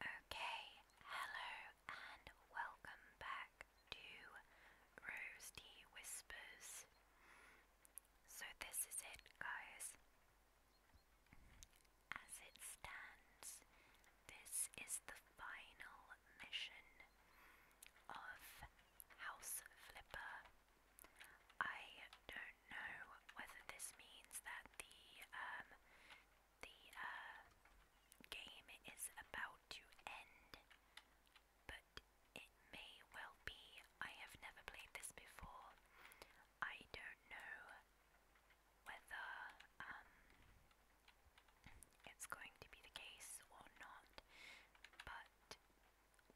Okay, hello and welcome back to Rose Whispers. So, this is it, guys. As it stands, this is the final mission of House Flipper. I don't do whether this means that the um, the uh, game is about to end, but it may well be. I have never played this before. I don't know whether um, it's going to be the case or not, but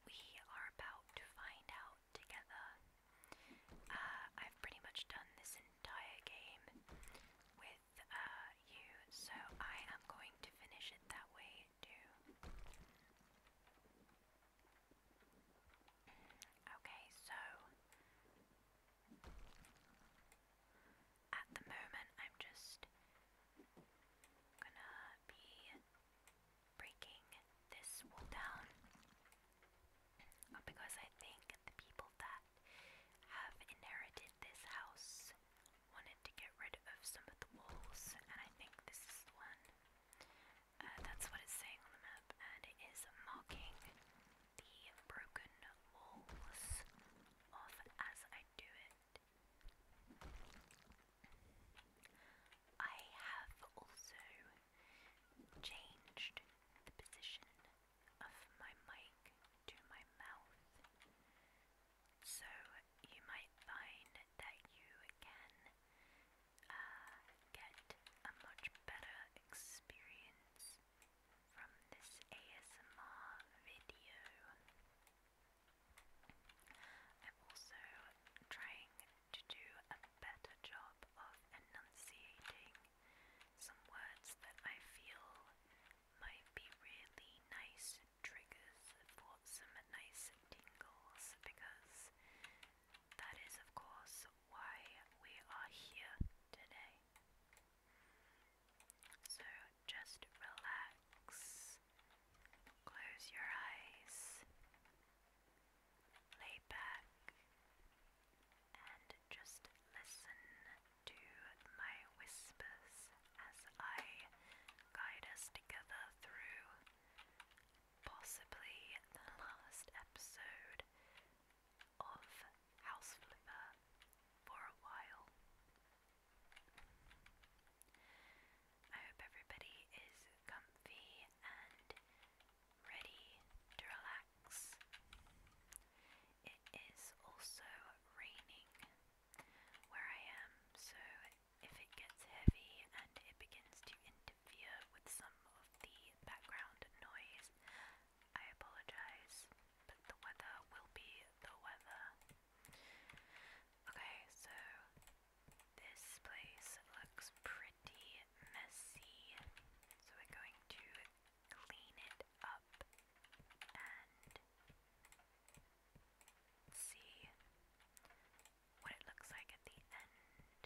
we are about to find out together. Uh, I've pretty much done this entire game with uh, you, so I am going to finish it that way too. Okay, so at the moment, I'm just gonna be breaking this wall down because I think the people that have inherited this house wanted to get rid of some of the walls, and I think this is the one. Uh, that's what it's saying on the map, and it is marking the broken walls off as I do it. I have also changed the position of my mic to my mouth. So you might find that you can uh, get a much better experience from this ASMR video. I'm also trying to do a better job of enunciating some words that I feel might be really nice triggers for some nice tingles because that is, of course, why we are here today. So just relax, close your eyes lay back and just listen to my whispers as I guide us together through possibly the last episode of House Flipper for a while. I hope everybody is comfy and ready to relax. It is also raining where I am, so if it gets heavy and it begins to interfere with some of the background noise, I apologize, but the weather will be the weather. Okay, so this place looks pretty messy, so we're going to clean it up and see what it looks like at the end.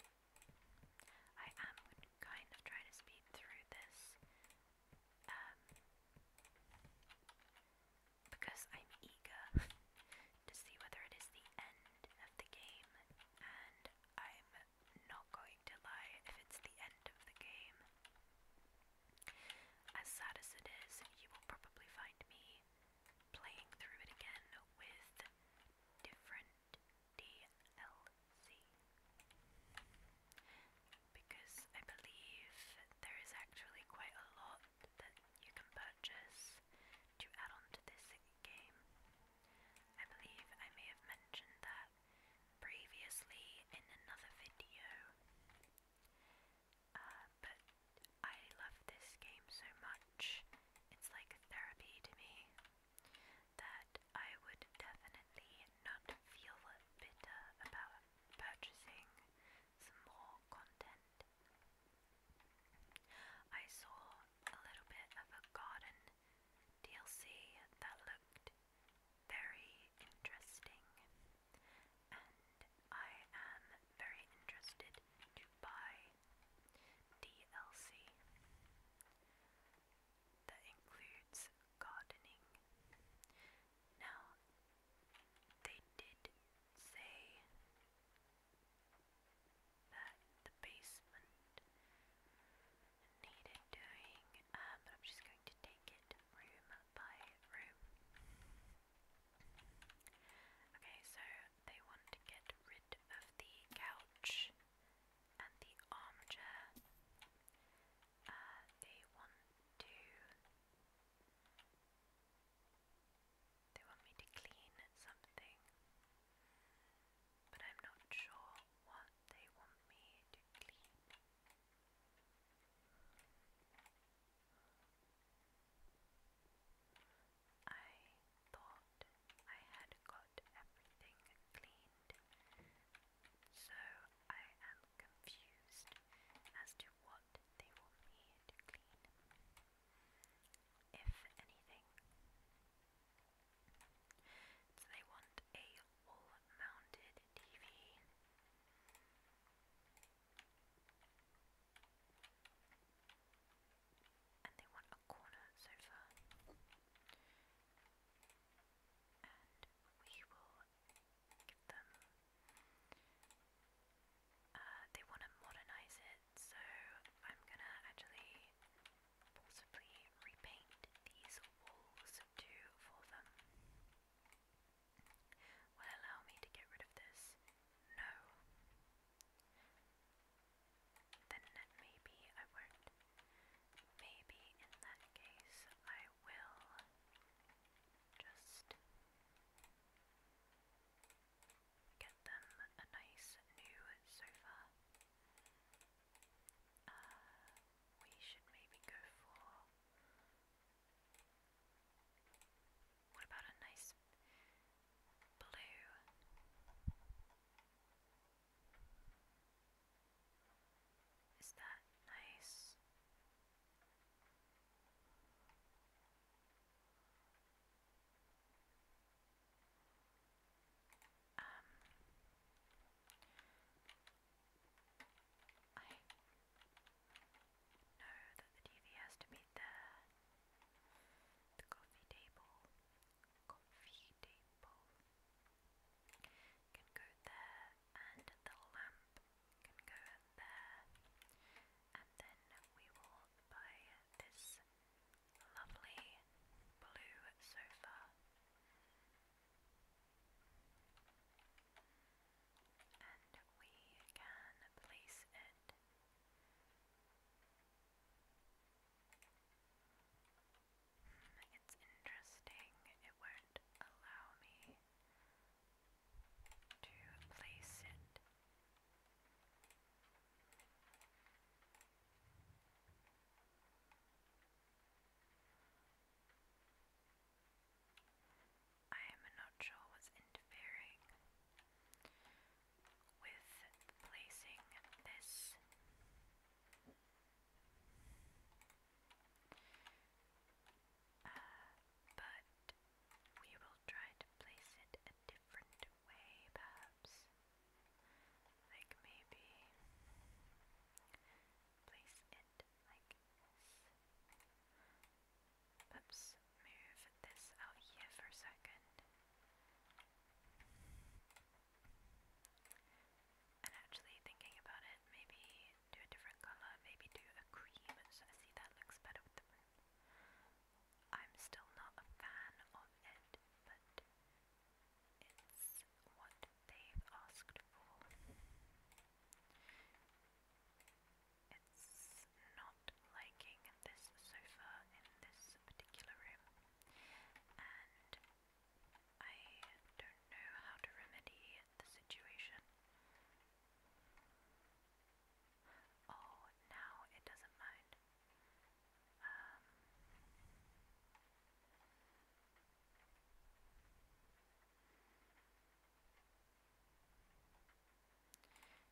I am kind of trying to speed through this um, because I'm eager to see whether it is the end of the game and I'm not going to lie if it's the end of the game. As sad as it is, you will probably find me playing through it again with different DLC. Because I believe there is actually quite a lot that you can purchase to add on this game. I believe I may have mentioned that previously in another video, uh, but I love this game so much, it's like therapy to me, that I would definitely not feel bitter about purchasing some more content. I saw a little bit of a garden DLC that looked very interesting, and I am very interested to buy DLC that includes gardening. Now, they did say that the basement needed doing, um, I'm just going to take it room by room. Okay, so they want to get rid of the couch and the armchair. Uh, they want to. They want me to clean something but I'm not sure what they want me to clean. I thought I had got everything cleaned, so I am confused as to what they want me to clean. If anything, so they want a wall mounted TV. And they want a corner sofa. And we will give them. Uh, they want to modernize it, so I'm gonna actually possibly repaint these walls too for them. Will allow me to get rid of this? No. Then maybe I won't. Maybe in that case I will just get them a nice new sofa uh, we should maybe go for. What about a nice blue? Is that nice? Um, I know that the TV has to be there. The coffee table, coffee table can go there, and the lamp can go there. And then we will buy this lovely blue sofa and we can place it it's interesting it won't allow me to place it I am not sure what's interfering with placing this. Uh, but we will try to place it a different way, perhaps. Like maybe place it like this. Oops, move this out here for a second. And actually, thinking about it, maybe do a different color, maybe do a cream, so I see that looks better with the room. I'm still not a fan of it, but it's what they've asked for. It's not liking this sofa in this particular room, and I don't know how to remedy the situation. Oh, now it doesn't mind. Um,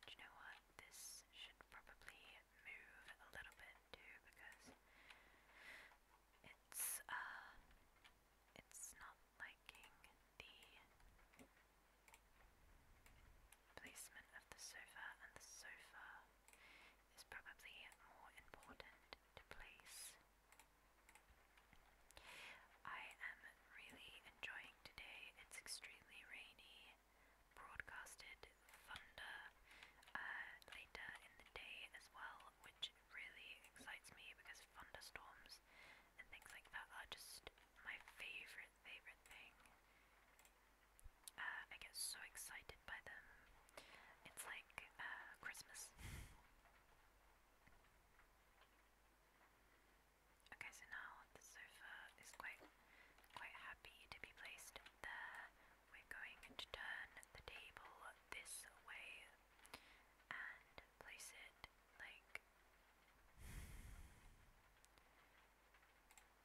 do you know what? This should probably move a little bit too because it's uh it's not liking the placement of the sofa and the sofa is probably more important to place I am really enjoying today. It's extremely rainy, broadcasted thunder uh, later in the day as well, which really excites me because thunderstorms and things like that are just my favorite, favorite thing. Uh, I get so excited by them. It's like uh, Christmas. Okay, so now the sofa is quite, quite happy to be placed there. We're going to turn the table this way and place it like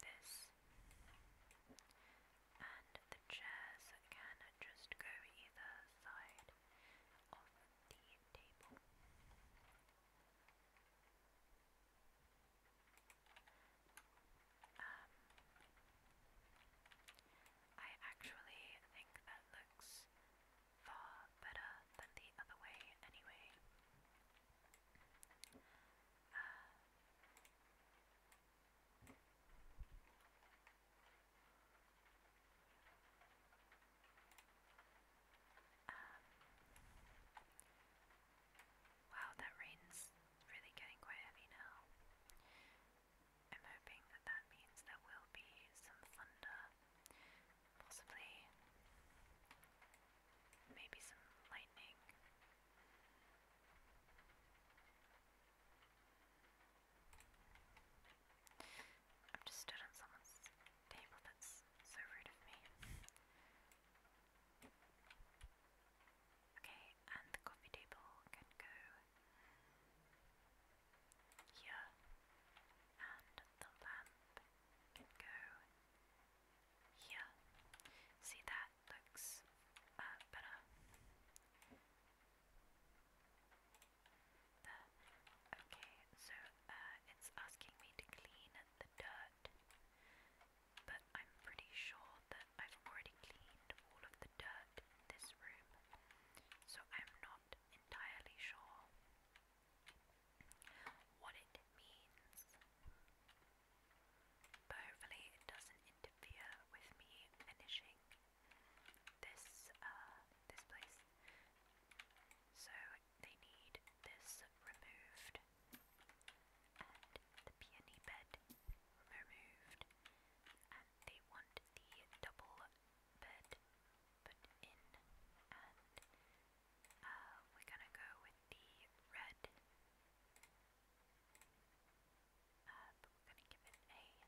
this and the chairs can just go either side of the table. Um, I actually think that looks far better than the other way, anyway. Uh, um, wow, that rain's really getting quite heavy now. I'm hoping that that means there will be some thunder, possibly maybe some lightning. I've just stood on someone's table, that's so rude of me. Okay, and the coffee table can go here, and the lamp can go here. See, that looks uh, better. There. Okay, so uh, it's asking me to clean the dirt, but I'm pretty sure that I've already cleaned all of the dirt in this room, so I'm not entirely sure what it means. But hopefully, it doesn't interfere with me finishing this uh, this place. So they need this removed and the peony bed removed, and they want the double bed put in, and uh, we're gonna go with the red. Uh, but we're gonna give it a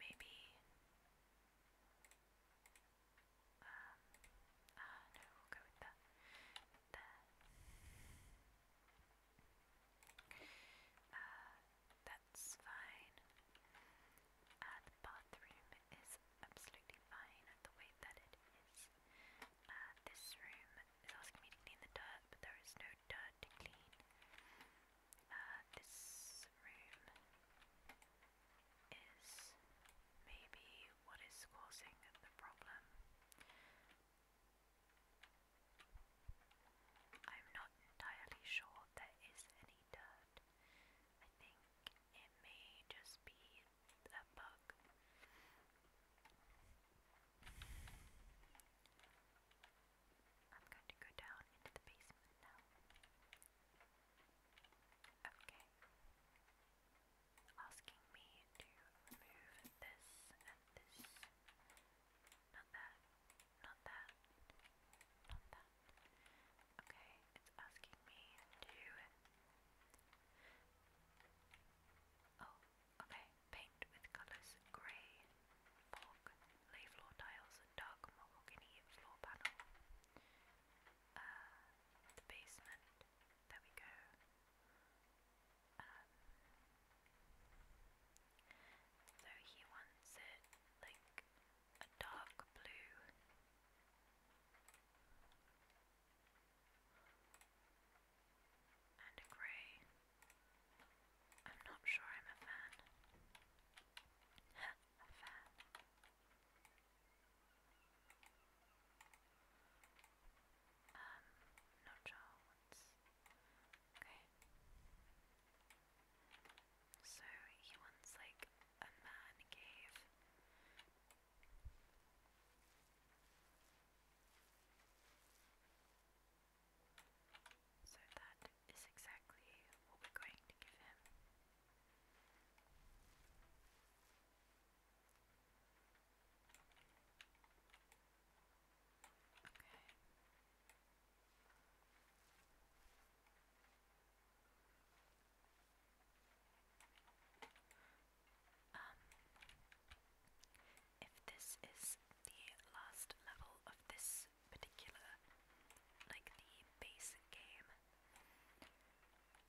maybe. Um, uh, no, we'll go with that. There. Uh, that's fine. Uh, the bathroom is absolutely fine the way that it is. this room is asking me to clean the dirt, but there is no dirt to clean. Uh, this room is maybe what is causing the problem. I'm not entirely sure there is any dirt. I think it may just be a bug. I'm going to go down into the basement now. Okay. Asking me to remove this and this. Not that. Not that. Not that. Okay, it's asking me to. Oh, Okay, paint with colours grey, floor tiles, dark mahogany floor panel. Uh, the basement, there we go. Um, so he wants it like a dark blue. And a grey. I'm not sure I'm a fan. a fan. Um, not sure Okay. So, he wants, like, a man cave. So that is exactly what we're going to give him. Okay. Um, if this is the last level of this particular, like the base game,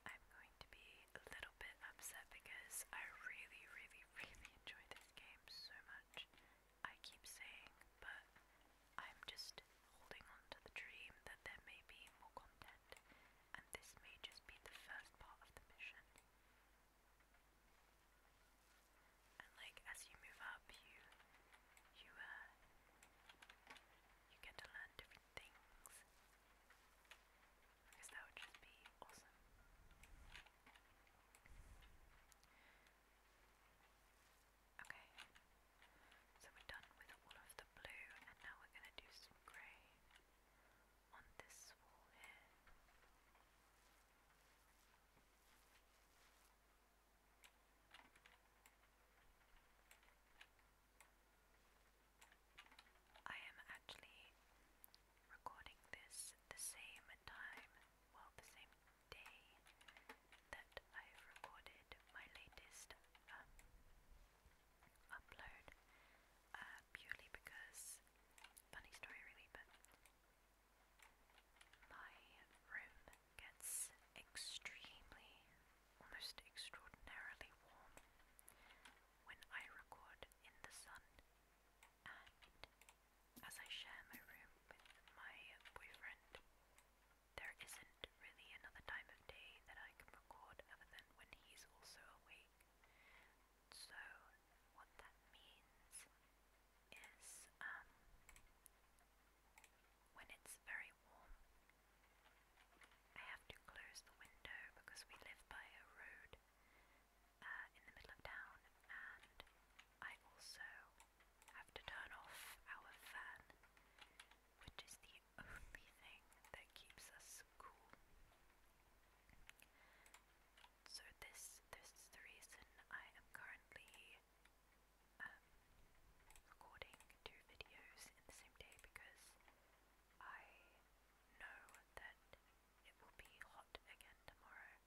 I'm going to be a little bit upset because I really, really, really enjoy this game so much. I keep saying, but I'm just holding on to the dream that there may be more content, and this may just be the first part of the mission. And like as you move up, you you uh you get to learn different things. Because that would just be awesome. Okay, so we're done with all of the blue, and now we're going to do some grey on this wall here. I am actually recording this the same time, well, the same day that I've recorded my latest um, upload, uh, purely because, funny story really, but my room gets extremely, almost extraordinarily warm when I record in the sun, and as I share my room with my boyfriend, there isn't really another time of day that I can record other than when he's also awake. So, what that means is um, when it's very warm, I have to close the window because we live by a road uh, in the middle of town, and I also have to turn off our fan, which is the only thing that keeps us cool. So this this is the reason I am currently um, recording two videos in the same day because I know that it will be hot again tomorrow,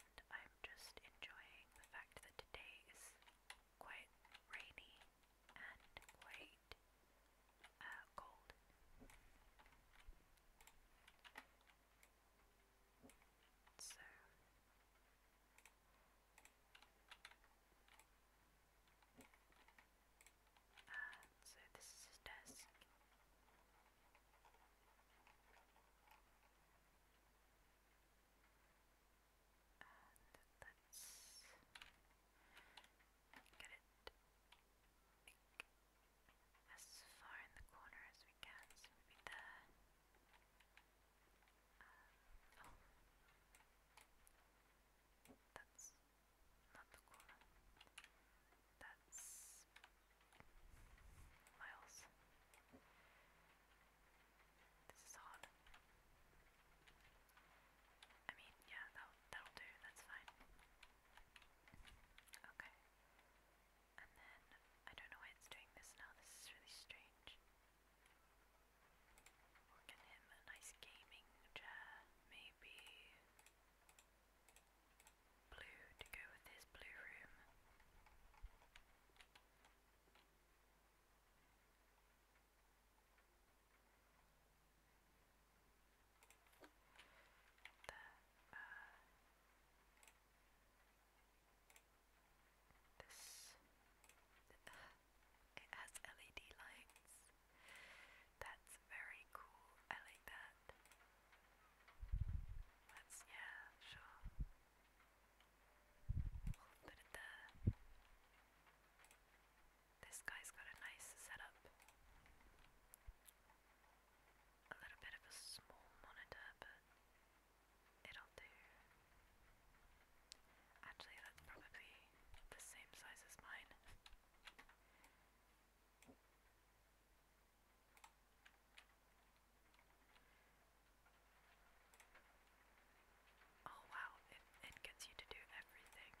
and I'm just enjoying the fact that today is quite rainy and quite uh, cold. So uh, so this is his desk. And let's get it like as far in the corner as we can. Uh, oh, that's not the corner. That's miles. This is hard. I mean, yeah, that that'll do, that's fine. Okay. And then, I don't know why it's doing this now, this is really strange. we him a nice gaming chair, maybe blue to go with his blue room. There, uh, this it has LED lights. That's very cool. I like that. That's yeah, sure. We'll This guy's got a nice setup a little bit of a small monitor, but it'll do. Actually, that's probably the same size as mine. Oh wow, it, it gets you to do everything.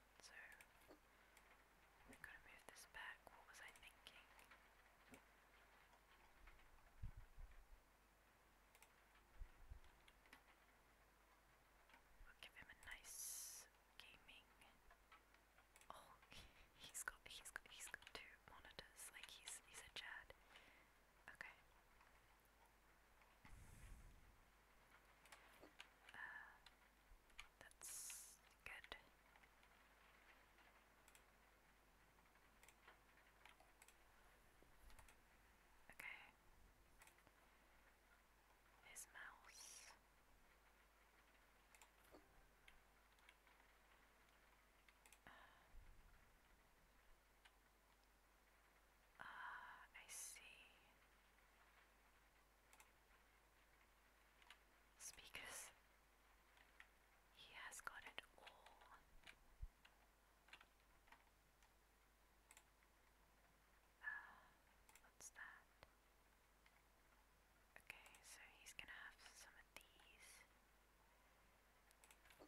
So I've got to move this back. What was I thinking? We'll give him a nice gaming. Oh, he's got he's got he's got two monitors. Like he's he's a Chad. Okay. Uh, that's good. Okay. His mouse. Ah, uh, I see. Speakers. He has got it all. Ah, what's that? Okay, so he's gonna have some of these. Um,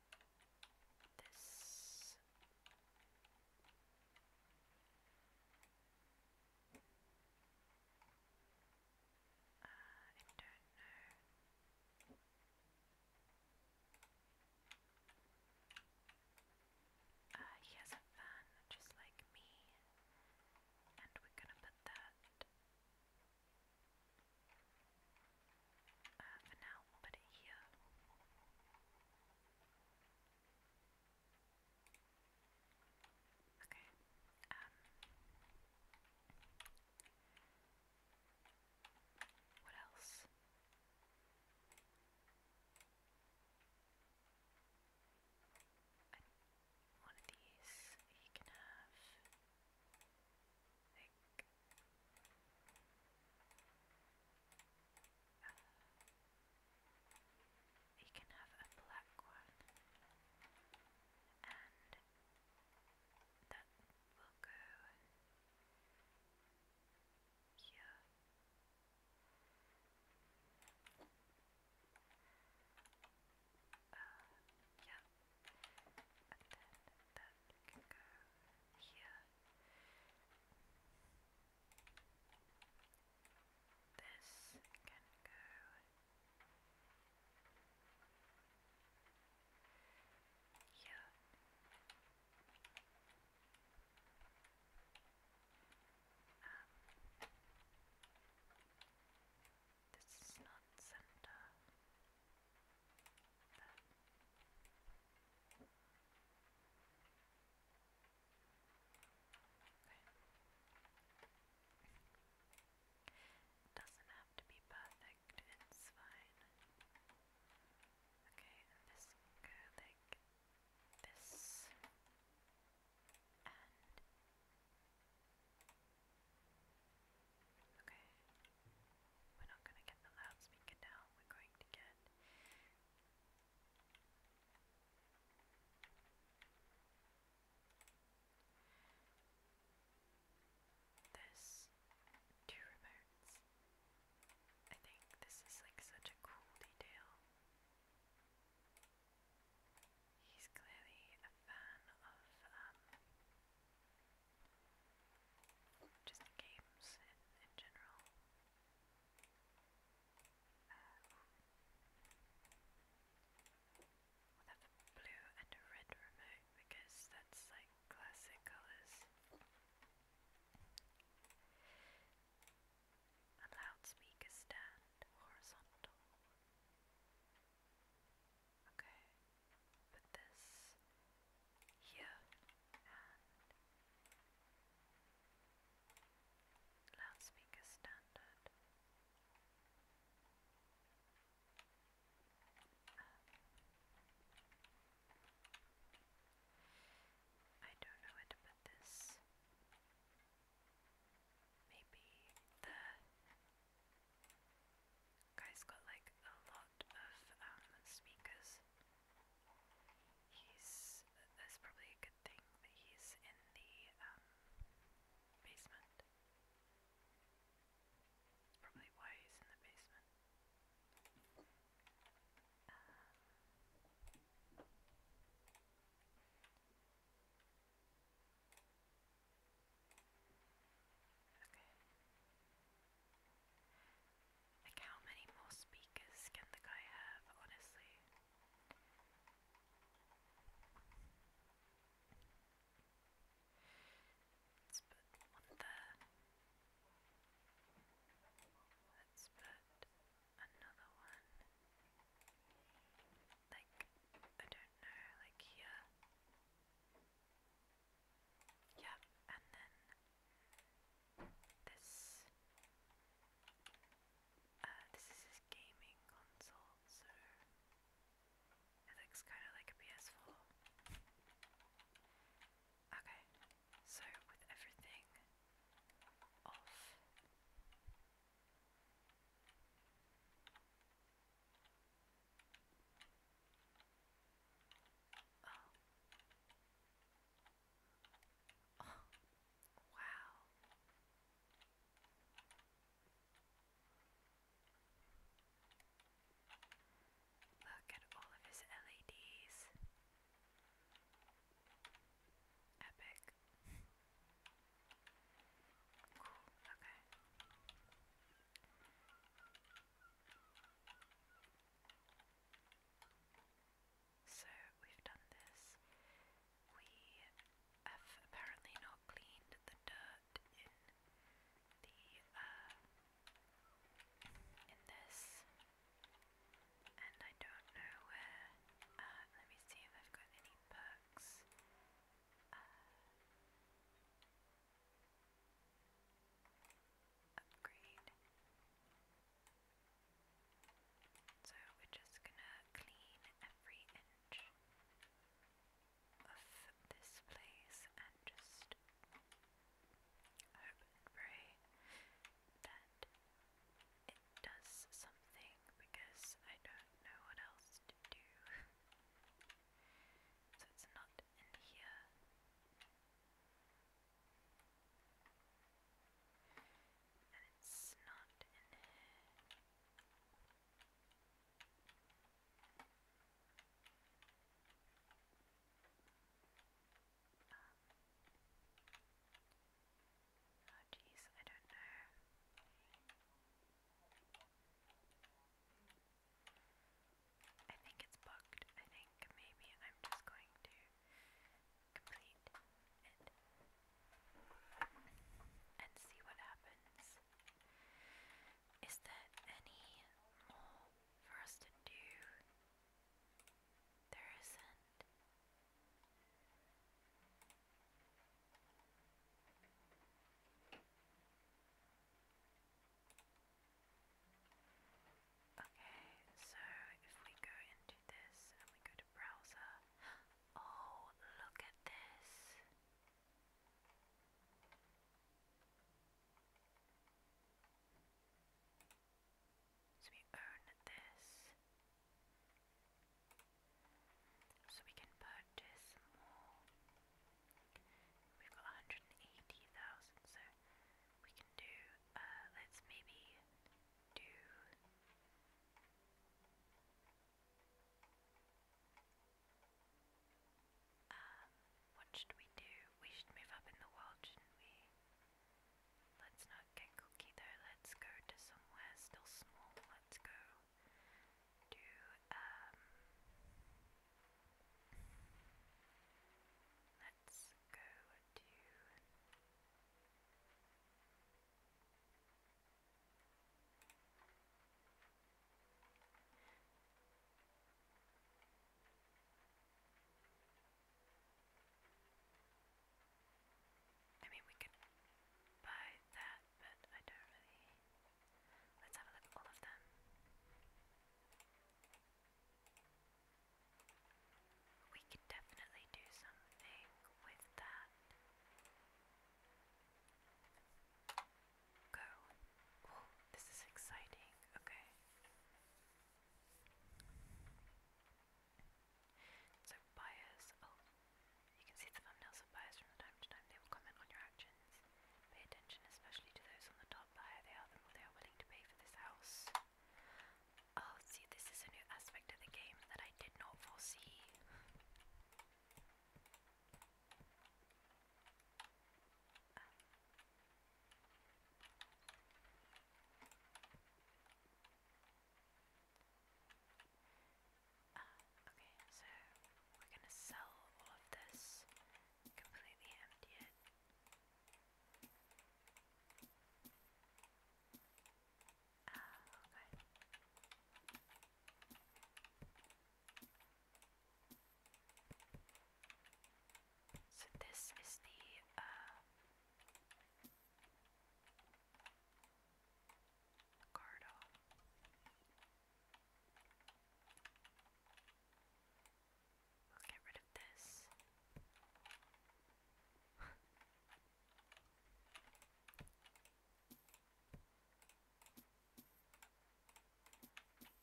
this uh, I don't know he has a van just like me and we're gonna put that for now, we'll put it here. Okay. Um What else? And um, one of these he can have like uh, you can have a black one, and that will go here. Uh, and then that can go here. This can go here. Um, this is not center. It doesn't have to be perfect, it's fine. Okay, this like this. And Okay. We're not gonna get the loudspeaker down, we're going to get this two remotes. I think this is like such a cool detail. He's clearly a fan of um, just games in general. We'll have a blue and a red remote because that's like classic colours. A loudspeaker stand, horizontal. Okay, put this here and loudspeaker standard. Um, I don't know where to put this. Maybe the guy got like a lot of um, speakers. He's. That's probably a good thing he's in the um, basement. That's probably why he's in the basement. Um, okay. Like, how many more speakers can the guy have, honestly? Let's one there. Let's another one. Like, I don't know, like here. Yep, and then this uh, this is his gaming console, so it looks kind of like a PS4. Okay, so with everything off. Oh. Oh, wow. Look at all of his LEDs. Epic. cool, okay. So we've done this. We have apparently not cleaned the dirt in the uh, in this, and I don't know where. Uh, let me see if I've got any perks. Uh, upgrade. So we're just gonna clean every inch of this place and just hope and pray that it does something because I don't know what else to do. so it's not in here. And it's not in here. oh jeez, I don't know. I think it's bugged. I think maybe I'm just going to complete it and see what happens. Is there any more for us to do? There isn't. Okay, so if we go into this and we go to browser. Oh, look at this. So we own this. So we can purchase more. We've got 180,000, so we can do, uh, let's maybe do um, what should we do? We should move up in the world, shouldn't we? Let's not get cookie though, let's go to somewhere still small. Let's go to, um, let's go to I mean, we could buy that, but I don't really. Let's have a look at all of them. We could definitely do something with that. Go. Oh, this is exciting. Okay. So, buyers. Oh, you can see the thumbnails of buyers from time to time. They will comment on your actions. Pay attention, especially to those on the top. The higher they are, the more they are willing to pay for this house. Oh, see, this is a new aspect of the game that I did not foresee. Uh. okay, so we're gonna sell all of this, completely empty Ah, okay. So this is the uh, card We'll get rid of this.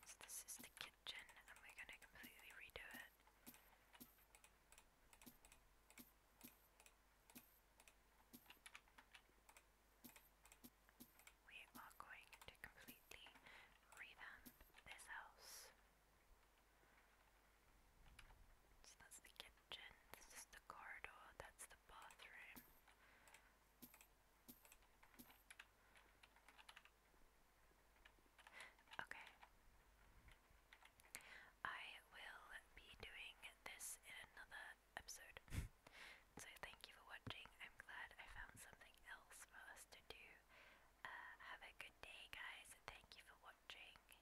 So this is the kitchen and we're going to completely redo it. We are going to completely revamp this house. So that's the kitchen, this is the corridor, that's the bathroom. Okay. I will be doing this in another episode. so thank you for watching. I'm glad I found something else for us to do. Uh, have a good day, guys. Thank you for watching.